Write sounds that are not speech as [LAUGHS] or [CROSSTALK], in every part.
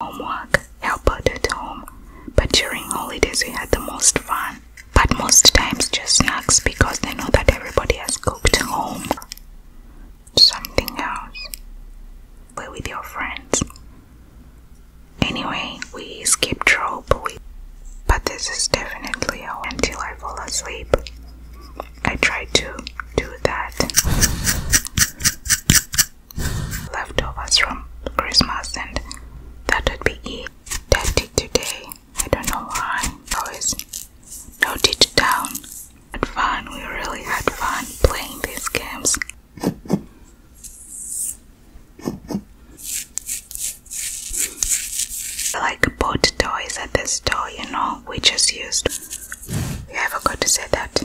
homework, help out at home. But during holidays, we had the most fun. But most times, just snacks because they know that everybody has cooked at home. Something else. We're with your friends. Anyway, we skip trope, we, but this is definitely until I fall asleep. I try to do that leftovers from Christmas and that would be it. That did today. I don't know why. Always note it down. Had fun. We really had fun playing these games. I like bought toys at this store, you know, we just used. You ever got to say that?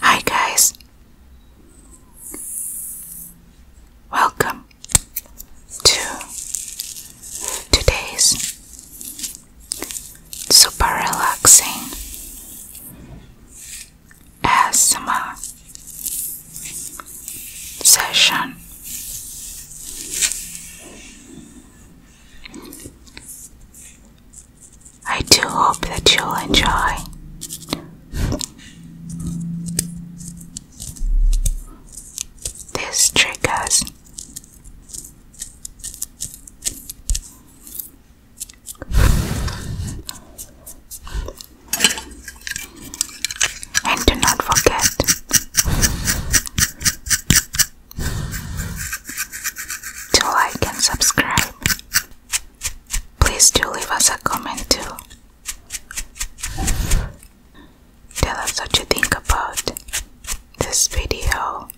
Hi, guys. Welcome to today's super relaxing ASMR session. I do hope that you'll enjoy. These triggers. And do not forget. To like and subscribe. Please do leave us a comment too. Tell us what you think about this video.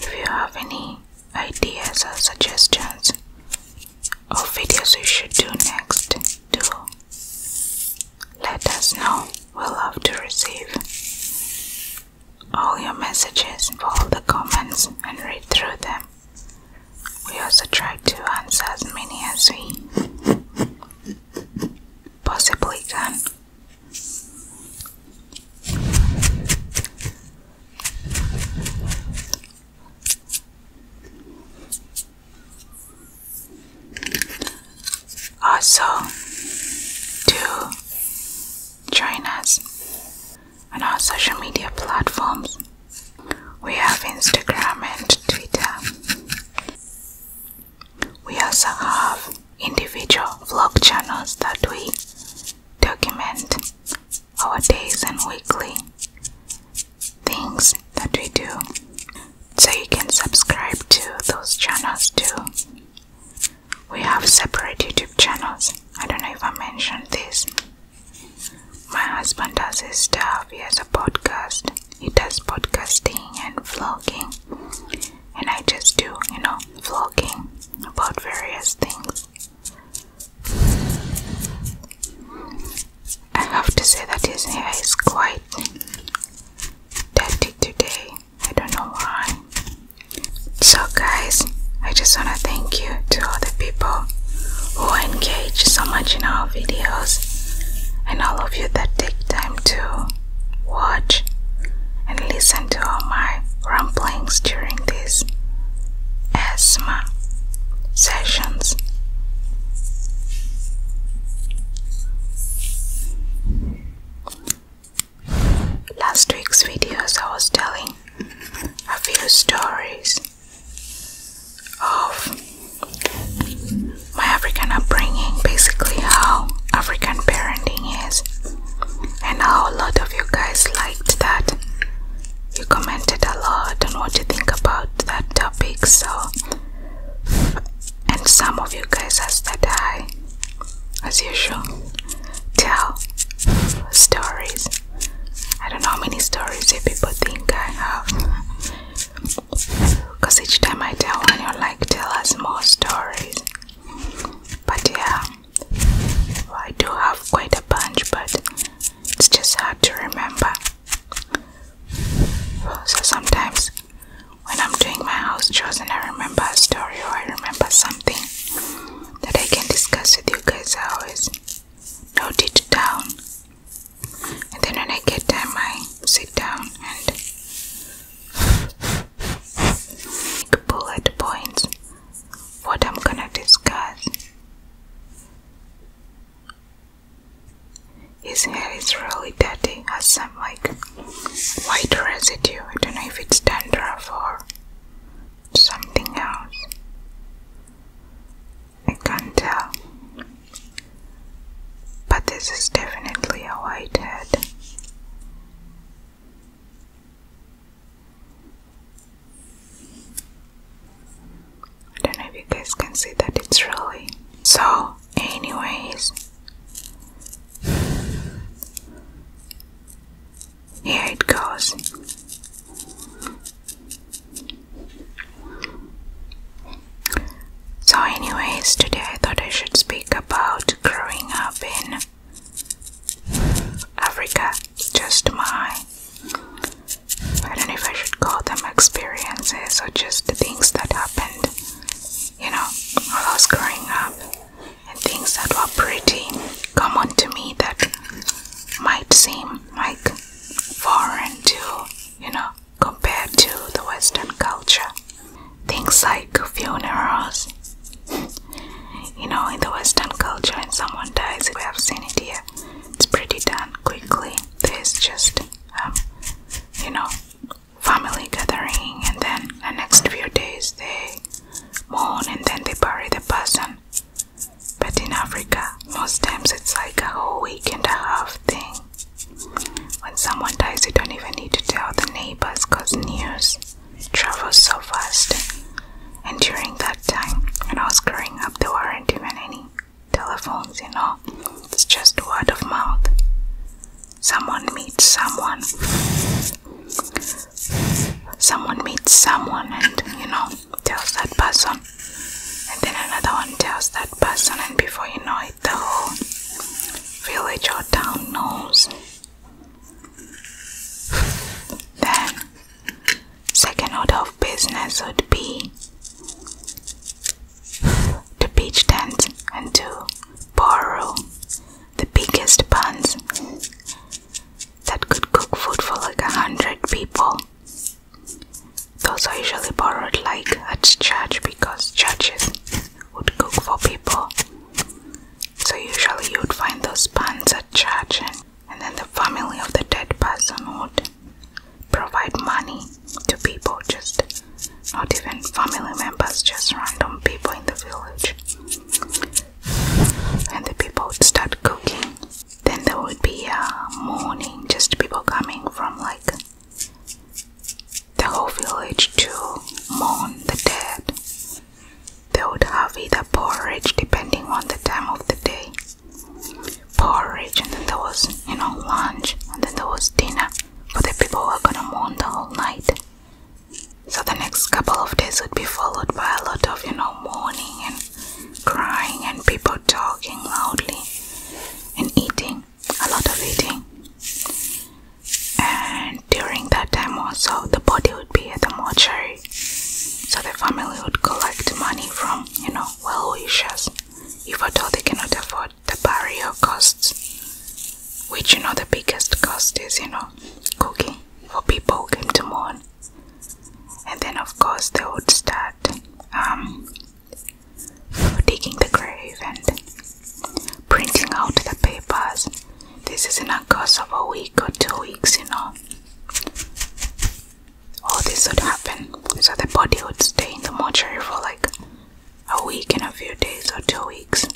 If you have any ideas or suggestions of videos we should do next, do let us know. We will love to receive all your messages, all the comments, and read through them. We also try to answer as many as we possibly can also to join us on our social media platforms. We have Instagram and Twitter. We also have individual vlog channels that we document our days and weekly things that we do. So you can subscribe to those channels too. We have separate YouTube channels. I don't know if I mentioned this. My husband does his stuff, he has a podcast, he does podcasting and vlogging, and I just do, you know, vlogging about various things. I have to say that his hair is quite dirty today. I don't know why. So, guys, I just want to thank you to all the people who engage so much in our videos and all of you that take time to watch and listen to all my ramblings during these asthma sessions. Last week's videos I was telling a few stories of my African upbringing, basically how African parenting is, and how a lot of you guys liked that. You commented a lot on what you think about that topic, so and some of you guys as that eye as usual tell stories i don't know how many stories people think i have because each time i tell one you're like tell us more stories but yeah i do have quite a bunch but it's just hard to remember so sometimes when I'm doing my house chores and I remember a story or I remember something that I can discuss with you guys, I always note it down. And then when I get time, I sit down and make bullet points what I'm gonna discuss. His hair is really dirty, has some like white residue. I don't know if it's dandruff or something else. I can't tell. But this is definitely a white head. I don't know if you guys can see that it's really so anyways here it goes. So, anyways, today I thought I should speak about growing up in Africa. Just my, I don't know if I should call them experiences or just the things that happened you know, when I was growing up, and things that were pretty common to me that might seem like foreign to, you know, compared to the Western culture. Things like funerals. You know, in the Western culture, when someone dies, we have seen it here. It's pretty done quickly. There's just, um, you know, family gathering and then the next few days they mourn and then they bury the person. But in Africa, most times it's like a whole week and a half thing. When someone dies, you don't even need to tell the neighbors because news travels so fast. And during that time, when I was growing up, there weren't even any telephones, you know, it's just word of mouth. Someone meets someone. Someone meets someone and, you know, tells that person. And then another one tells that person, and before you know it, the whole village or town knows. Then, second order of business would be to beach tents and to borrow the biggest buns that could cook food for like a hundred people. Those are usually borrowed like at church because churches would cook for people. So usually you would find those buns at church and then the family of the dead person would provide money to people, just not even family members, just random people in the village. And the people would start cooking. Then there would be a morning, just people coming from like the whole village to mourn the dead. They would have either porridge, depending on the time of the day, porridge, and then there was, you know, lunch, and then there was dinner but the people were gonna mourn the whole night. So the next couple of days would be followed by a lot of, you know, mourning and crying and people talking loudly and eating, a lot of eating. And during that time also, the body would be at the mortuary. So the family would collect money from, you know, well wishers if at all they cannot afford the burial costs, which you know the biggest cost is, you know, cooking for people who came to mourn. And then, of course, they would start um, digging the grave and printing out the papers. This is in a course of a week or two weeks, you know. All this would happen. So the body would stay in the mortuary for like a week and a few days or two weeks.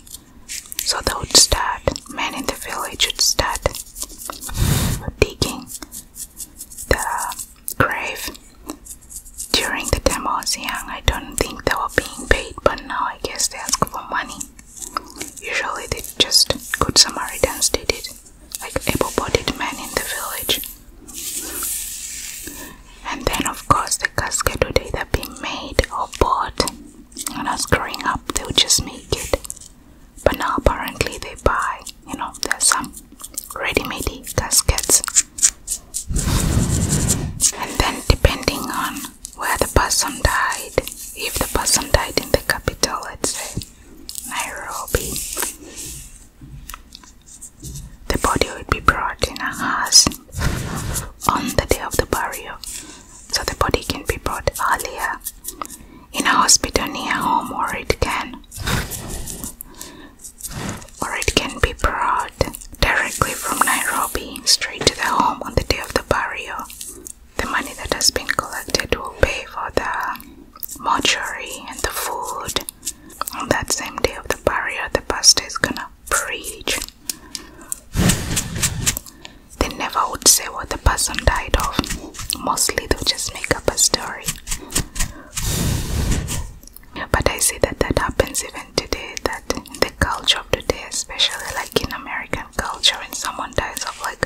So they would start, men in the village would start digging the grave. During the time I young, I don't think they were being paid, but now I guess they ask for money. Usually, they just good Samaritans did it, like able bodied men in the village and then of course the casket would either be made or bought when i was growing up they would just make it but now apparently they buy you know there's some ready-made caskets and then depending on where the person died if the person died in the capital let's say nairobi the body will be brought in a house on the day of the burial, so the body can be brought earlier in a hospital near home, or it can, or it can be brought directly from Nairobi straight to the home on the day of the burial. The money that has been collected will pay for the mortuary and the food. On that same day of the burial, the pastor is gonna preach. They never would say what the person died of. Mostly they'll just make up a story. But I see that that happens even today, that the culture of today, especially like in American culture, when someone dies of like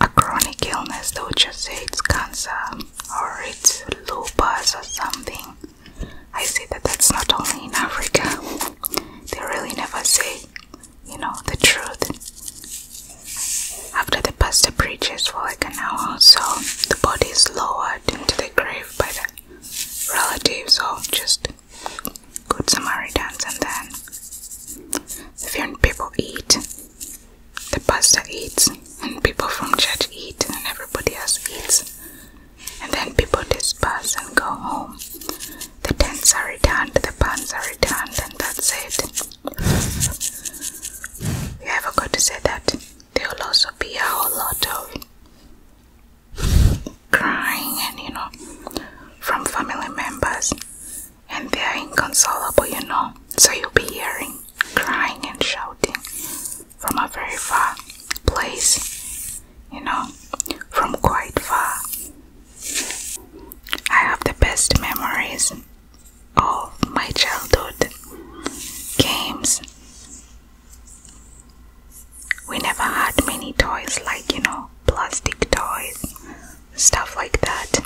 a chronic illness, they'll just say it's cancer or it's lupus or something. I say that that's not only in Africa. They really never say, you know, the truth. After the pastor preaches for like an hour or so, the body is lowered into the grave by the relatives or just good Samaritans, and then the few people eat. The pastor eats, and people from church eat, and everybody else eats and then people disperse and go home. The tents are returned, the pans are returned, and that's it. You forgot to say that? There will also be a whole lot of crying and you know from family members and they are inconsolable, you know. So you'll be hearing crying and shouting from a very far place, you know, from quite far. I have the best memories of my childhood games. We never had many toys, like you know, plastic toys, stuff like that.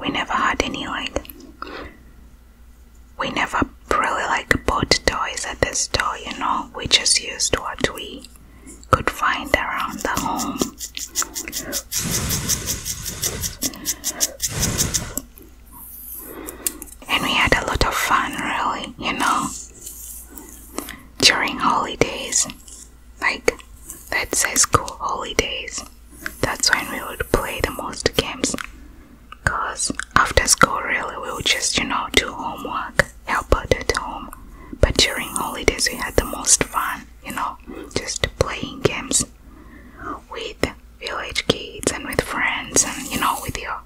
We never had any like we never really like bought toys at the store, you know, we just used what we could find around the home. And we had a lot of fun, really, you know, during holidays, like that says school holidays, that's when we would play the most games. Cause after school really we would just, you know, do homework, help out at home. But during holidays we had the most fun, you know, just playing games with village kids and with friends and you know with your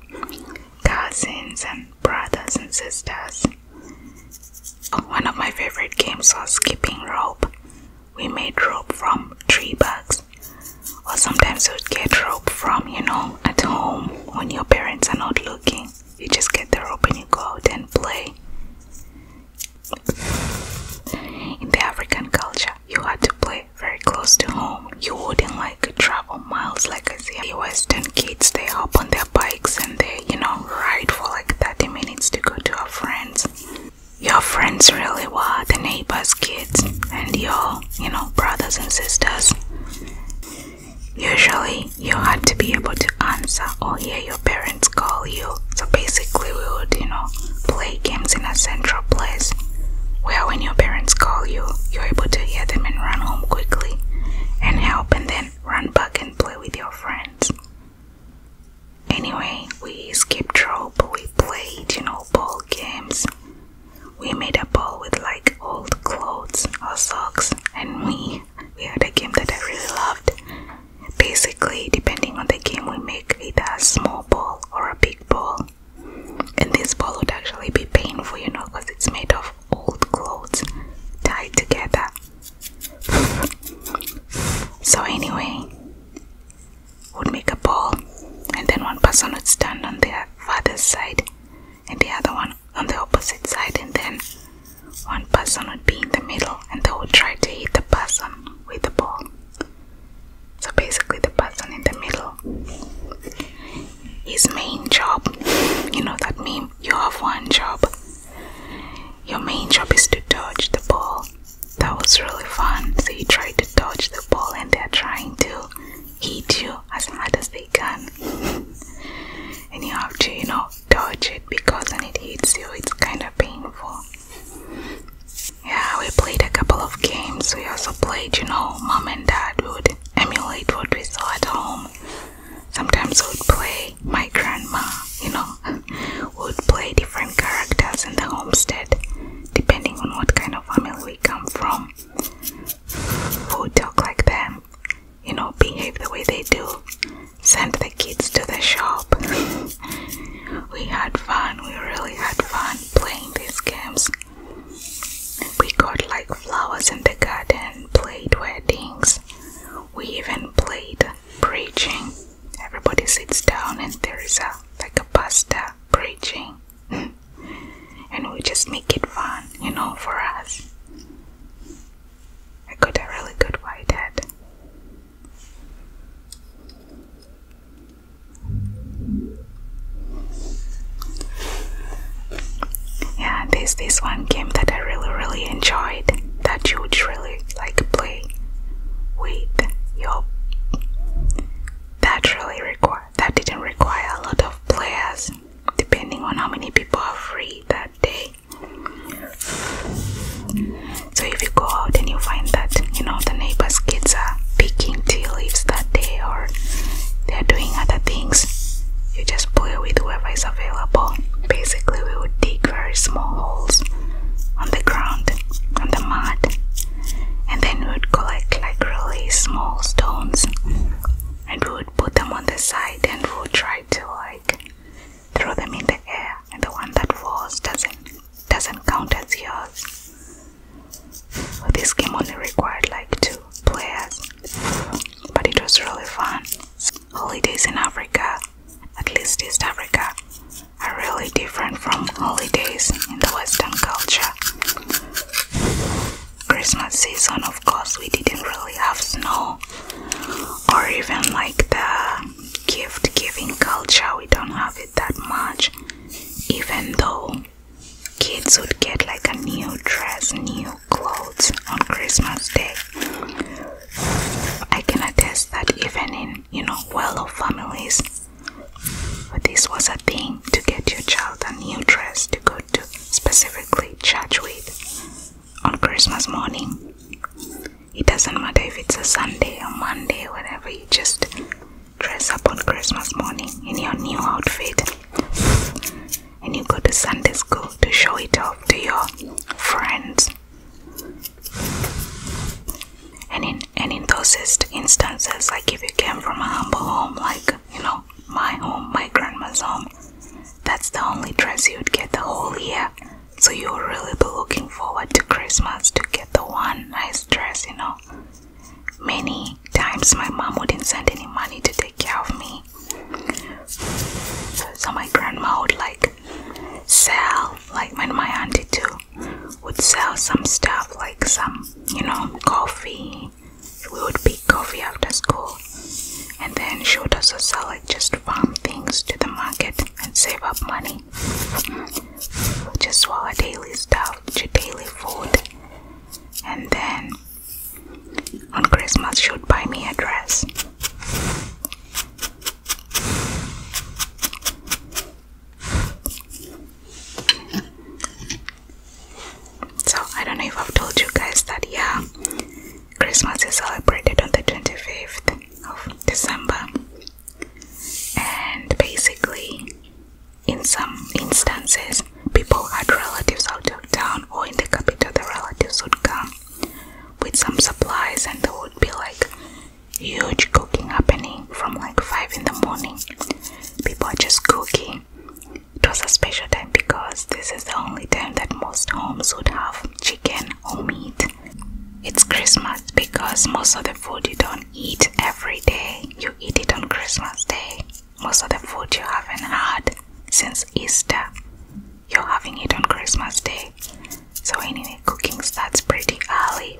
cousins and brothers and sisters. One of my favorite games was skipping rope. We made rope from tree bugs or sometimes you get rope from you know at home when your parents are not looking you just get the rope and you go out and play in the african culture you had to play very close to home you wouldn't like travel miles like i see western kids they hop on their bikes and they you know ride for like 30 minutes to go to our friends your friends really were the neighbors kids and your you know, brothers and sisters. Usually, you had to be able to answer or hear your parents call you. So basically, we would, you know, play games in a central place where when your parents call you, you're able to hear them and run home quickly and help and then run back and play with your friends. Anyway, we skipped rope, we played, you know, ball games, we made a ball with like old clothes or socks, and we we had a game that I really loved. Basically, depending on the game, we make either a small ball or a big ball. And this ball would actually be painful, you know, because it's made of old clothes tied together. [LAUGHS] so anyway, would make a ball, and then one person would stand on their father's side and the other one on the opposite side, and then one person would be in the middle and they would try to hit the person with the ball. So basically, the person in the middle, his main job, you know that meme, you have one job. Your main job is to dodge the ball. That was really fun. So you try to dodge the ball, and they're trying to eat you as hard as they can [LAUGHS] and you have to you know dodge it because when it hits you it's kind of painful yeah we played a couple of games we also played you know mom and dad would emulate what we saw at home sometimes we would play my grandma you know [LAUGHS] would play different characters in the homestead depending on what kind of family we come from who talk like them, you know, behave the way they do, send the kids to the shop. [LAUGHS] we had fun, we really had fun playing these games. We got like flowers in the garden, played weddings, we even played preaching. Everybody sits down and there is a like a pastor preaching. [LAUGHS] and we just make it fun, you know, for us. I got a really good white head. Yeah, this this one game that I really really enjoyed that you would really like play with your that really requires that didn't require a lot of players, depending on how many people are free that day. So if you go out and you find that you know the neighbors' kids are picking tea leaves that day or they're doing other things, you just play with whoever is available. Basically, we would dig very small holes on the ground, on the mud, and then we would collect like really small stones and we would put them on the side and we would try to like throw them in the air and the one that falls doesn't doesn't count as yours. This game only required like two players but it was really fun. Holidays in Africa, at least East Africa, are really different from holidays in the Western culture. Christmas season, of course, we didn't really have snow or even like the gift giving culture, we don't have it that much, even though kids would get like a new dress, new clothes on Christmas Day. I can attest that even in you know well off families but This was a thing to get your child a new dress to go to specifically church with on Christmas morning. It doesn't matter if it's a Sunday or Monday, whatever, you just dress up on Christmas morning in your new outfit and you go to Sunday school to show it off to your friends. And in and in those instances, like if you came from a humble home, like you know, my home, my grandma's home, that's the only dress you'd get the whole year. So you will really be looking forward to Christmas to get the one nice dress, you know. Many times my mom wouldn't send any money to take care of me. So my grandma would like sell, like when my auntie too would sell some stuff like some, you know, coffee, we would pick coffee after school, and then she would also sell like just farm things to the market and save up money just for daily stuff, to daily food. And then on Christmas, she would buy me a dress. So I don't know if I've told you guys that yeah, Christmas is celebrated on the 25th of December. And basically in some instances people had relatives out of town or in the capital the relatives would come with some supplies and there would be like huge cooking happening from like five in the morning. People are just cooking it was a special time because this is the only time that most homes would have chicken or meat. It's Christmas because most of the food you don't eat every day, you eat it on Christmas Day. Most of the food you haven't had since Easter, you're having it on Christmas Day. So, anyway, cooking starts pretty early.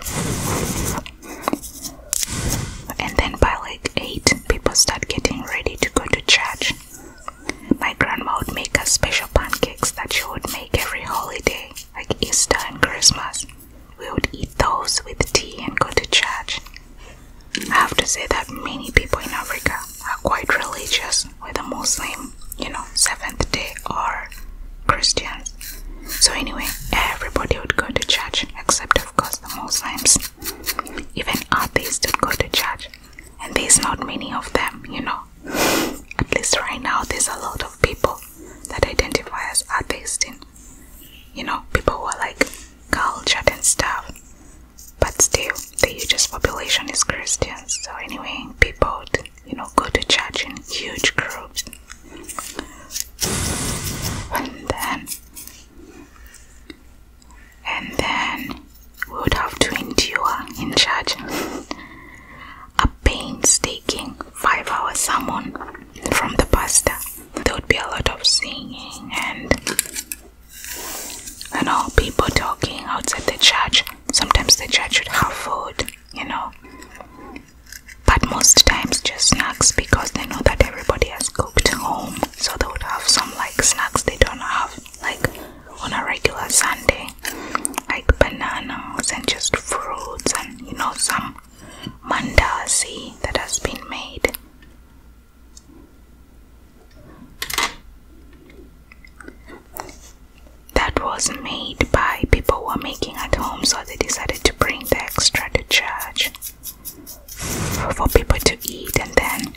And then by like 8, people start getting ready to go to church. My grandma would make us special pancakes that she would make every holiday, like Easter and Christmas. We would eat those with tea and go to church. I have to say that many people in Africa are quite religious, whether Muslim, you know, Seventh day, or Christians. So, anyway, everybody would go to church except of course, the Muslims, even atheists don't go to church. And there's not many of them, you know. At least right now, there's a lot of people that identify as atheists, and you know, people who are like cultured and stuff. But still, the hugest population is Christians. So anyway, people, you know, go to church in huge groups. And then and then we would have to endure in church a painstaking five hour sermon from the pastor. There would be a lot of singing and you know, people talking outside the church. Sometimes the church would have food, you know, but most times just snacks because they know that everybody has cooked home so they would have some like snacks they don't have like on a regular Sunday like bananas and just fruits and you know some mandazi that has been made that was made by people who were making at home so they decided to bring the extra to church for people to eat and then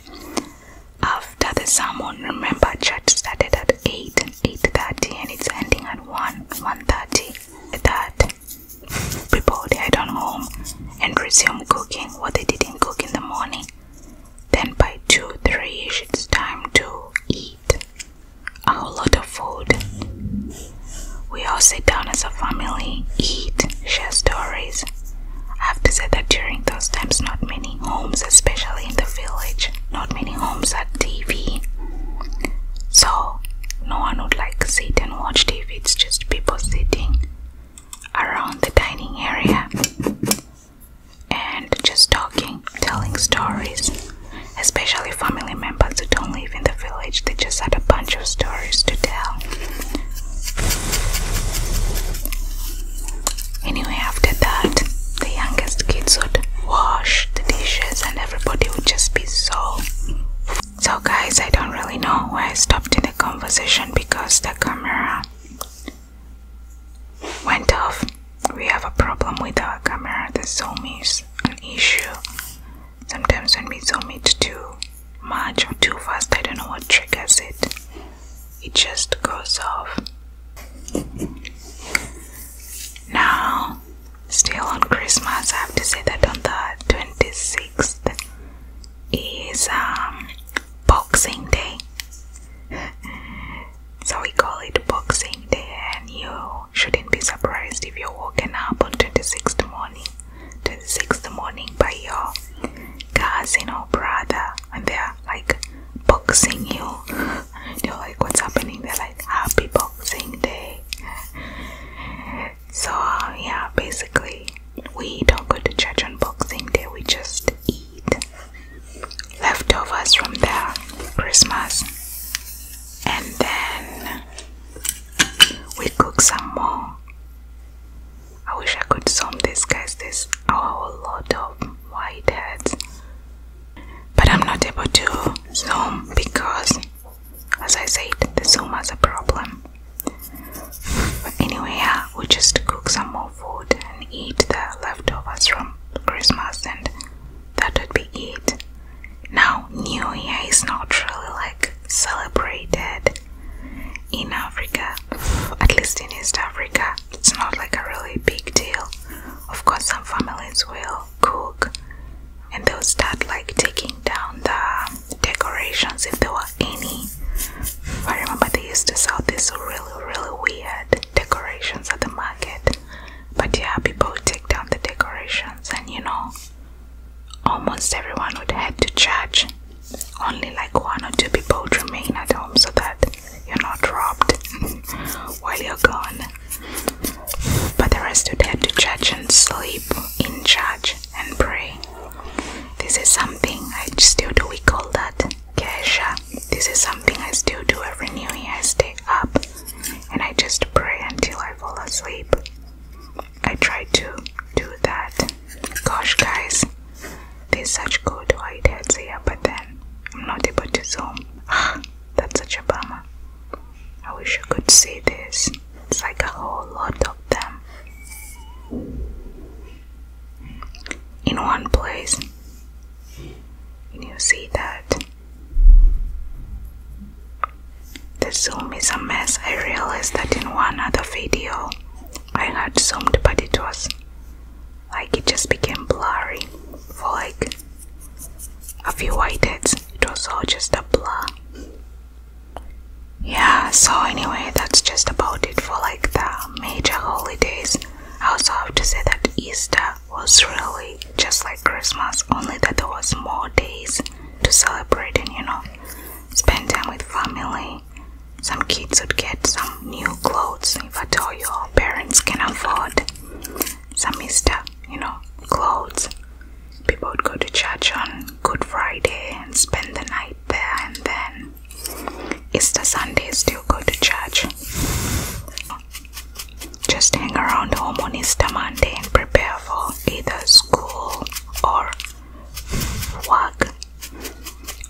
after the sermon remember church started at 8 and 8.30 and it's ending at 1 1.30 that people they head on home and resume cooking what they didn't cook in the morning then by 2 3 it's time to eat a whole lot of food we all sit down as a family, eat, share stories. I have to say that during those times, not many homes, especially in the village, not many homes had TV. So, no one would like sit and watch TV, it's just people sitting around the dining area and just talking, telling stories, especially family members who don't live in the village. They just had a bunch of stories to tell. Anyway, after that, the youngest kids would wash the dishes and everybody would just be so. So, guys, I don't really know where I stopped in the conversation because the camera went off. We have a problem with our camera, the Zoom is an issue. Sometimes when we zoom it too much or too fast, I don't know what triggers it. It just goes off. Now, still on Christmas, I have to say that on the 26th is um, Boxing Day. so we call it Boxing Day, and you shouldn't be surprised if you're woken up on 26th morning to the sixth morning by your cousin or brother and they're like boxing you [LAUGHS] you're like what's happening they're like happy boxing day so uh, yeah basically we don't go to church on boxing day we just eat leftovers from their christmas and then we cook some more I wish I could sum this, guys. There's oh, a whole lot of white hats, but I'm not able to zoom because, as I said, the zoom has a problem. But anyway, yeah, we just cook some more food and eat the leftovers from Christmas, and that would be it. Now, New Year is not really like celebrated in Africa, at least in East Africa, it's not like a really big deal. Of course, some families will cook and they'll start like taking down the decorations if there were any. I remember they used to sell these really, really weird decorations at the market, but yeah, people take down the decorations and you know. Almost everyone would head to church. Only like one or two people would remain at home so that you're not robbed [LAUGHS] while you're gone. But the rest would head to church and sleep in church and pray. This is something I still do. We call that kesha. This is something I still do every New Year. I stay up and I just pray until I fall asleep. I try to do that. Gosh, guys, there's such good white heads here, but then I'm not able to zoom. [GASPS] That's such a bummer. I wish I could see this. It's like a whole lot of them in one place. Can you see that? The zoom is a mess. I realized that in one other video I had zoomed, but it was like it just became blurry for like a few whiteheads. It was all just a blur. Yeah, so anyway, that's just about it for like the major holidays. I also have to say that Easter was really just like Christmas, only that there was more days to celebrate and you know spend time with family. Some kids would get some new clothes if I all you, parents can afford. Some Easter, you know, clothes. People would go to church on Good Friday and spend the night there, and then Easter Sunday still go to church. Just hang around home on Easter Monday and prepare for either school or work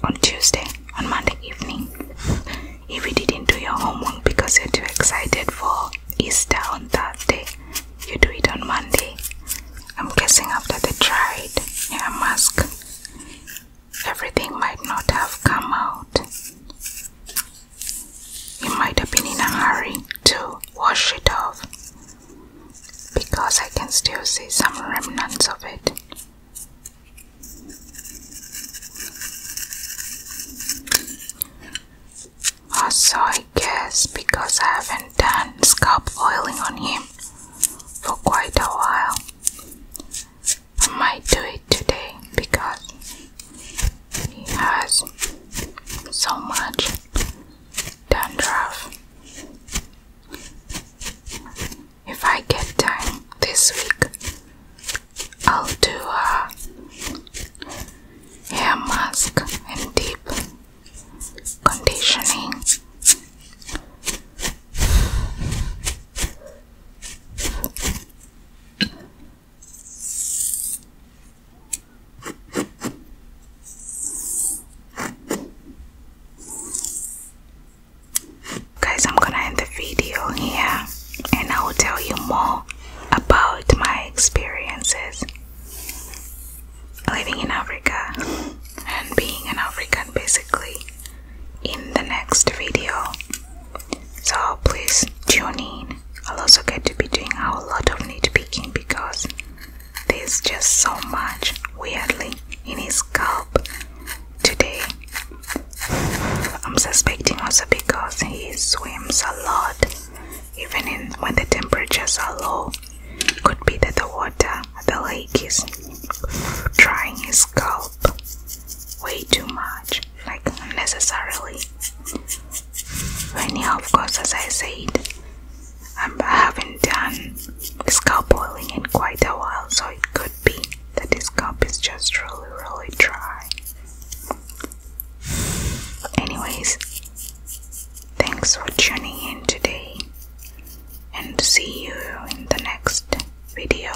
on Tuesday, on Monday evening. If you didn't do your homework because you're too excited for Easter on Thursday, you do it on Monday. I'm guessing after they tried hair mask, everything might not have come out. You might have been in a hurry to wash it off because I can still see some remnants of it. Also, I guess because I haven't done scalp oiling on him for quite a while, I might do it today because he has so much dandruff if I get time this week, I'll do a hair mask and deep conditioning. Guys, I'm gonna end the video here and I will tell you more about my experiences living in Africa and being an African basically in the next video. So please tune in. I'll also get to be doing a lot of need picking because there's just so much, weirdly, in his scalp today. I'm suspecting also because he swims a lot, even in, when the temperatures are low. Could be that the water the lake is drying his scalp way too much, like unnecessarily. Anyhow, of course, as I said, um, I haven't done scalp boiling in quite a while, so it could be that this scalp is just really, really dry. Anyways, thanks for tuning in today, and see you in the next video.